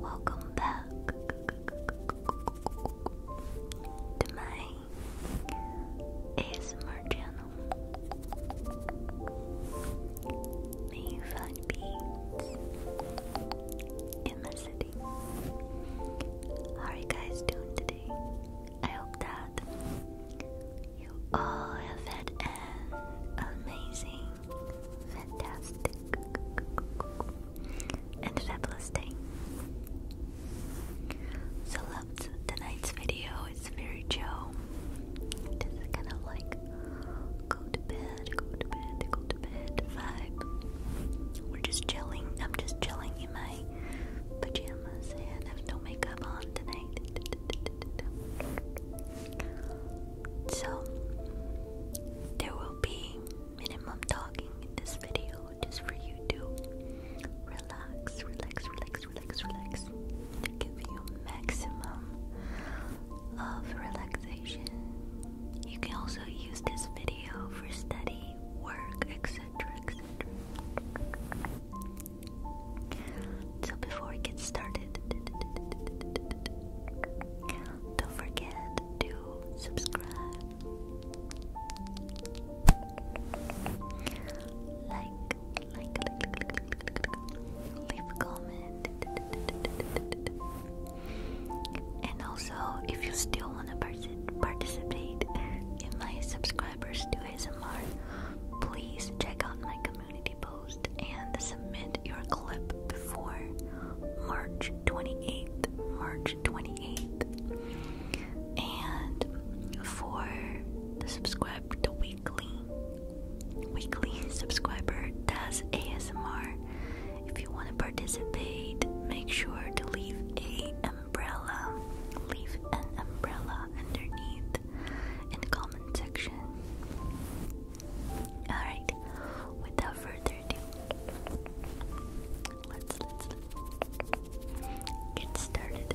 Welcome back to my channel. May you find peace in my city. How are you guys doing today? I hope that you all have had an amazing, fantastic, and fabulous day. So, loved tonight's video. It's very chill. Just kind of like go to bed, go to bed, go to bed vibe. We're just chilling. I'm just chilling in my pajamas and I have no makeup on tonight. So, there will be minimum talking in this video just for you to relax, relax, relax, relax, relax, to give you maximum of relaxation. You can also use this video for study, work, etc. etc. So before we get started, don't forget to subscribe, like, leave a comment, and also if you still want to participate in my subscribers to ASMR, please check out my community post and submit your clip before March 28th. March 28th. And for the subscribe to weekly weekly subscriber does ASMR. If you want to participate, make sure to leave a umbrella. Leave an umbrella underneath in the comment section. Alright, without further ado, let's get started.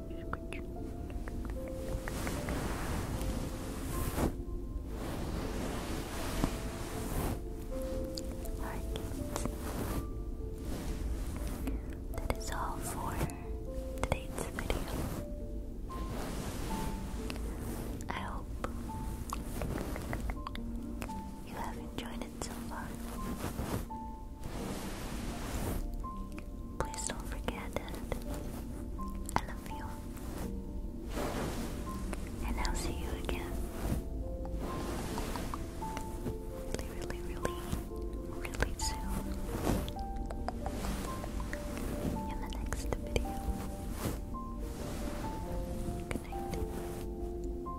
That is all for today's video. I hope you have enjoyed minutes Please don't forget that I love you. And I'll see you again. Really, really, really, really soon. In the next video. Good night.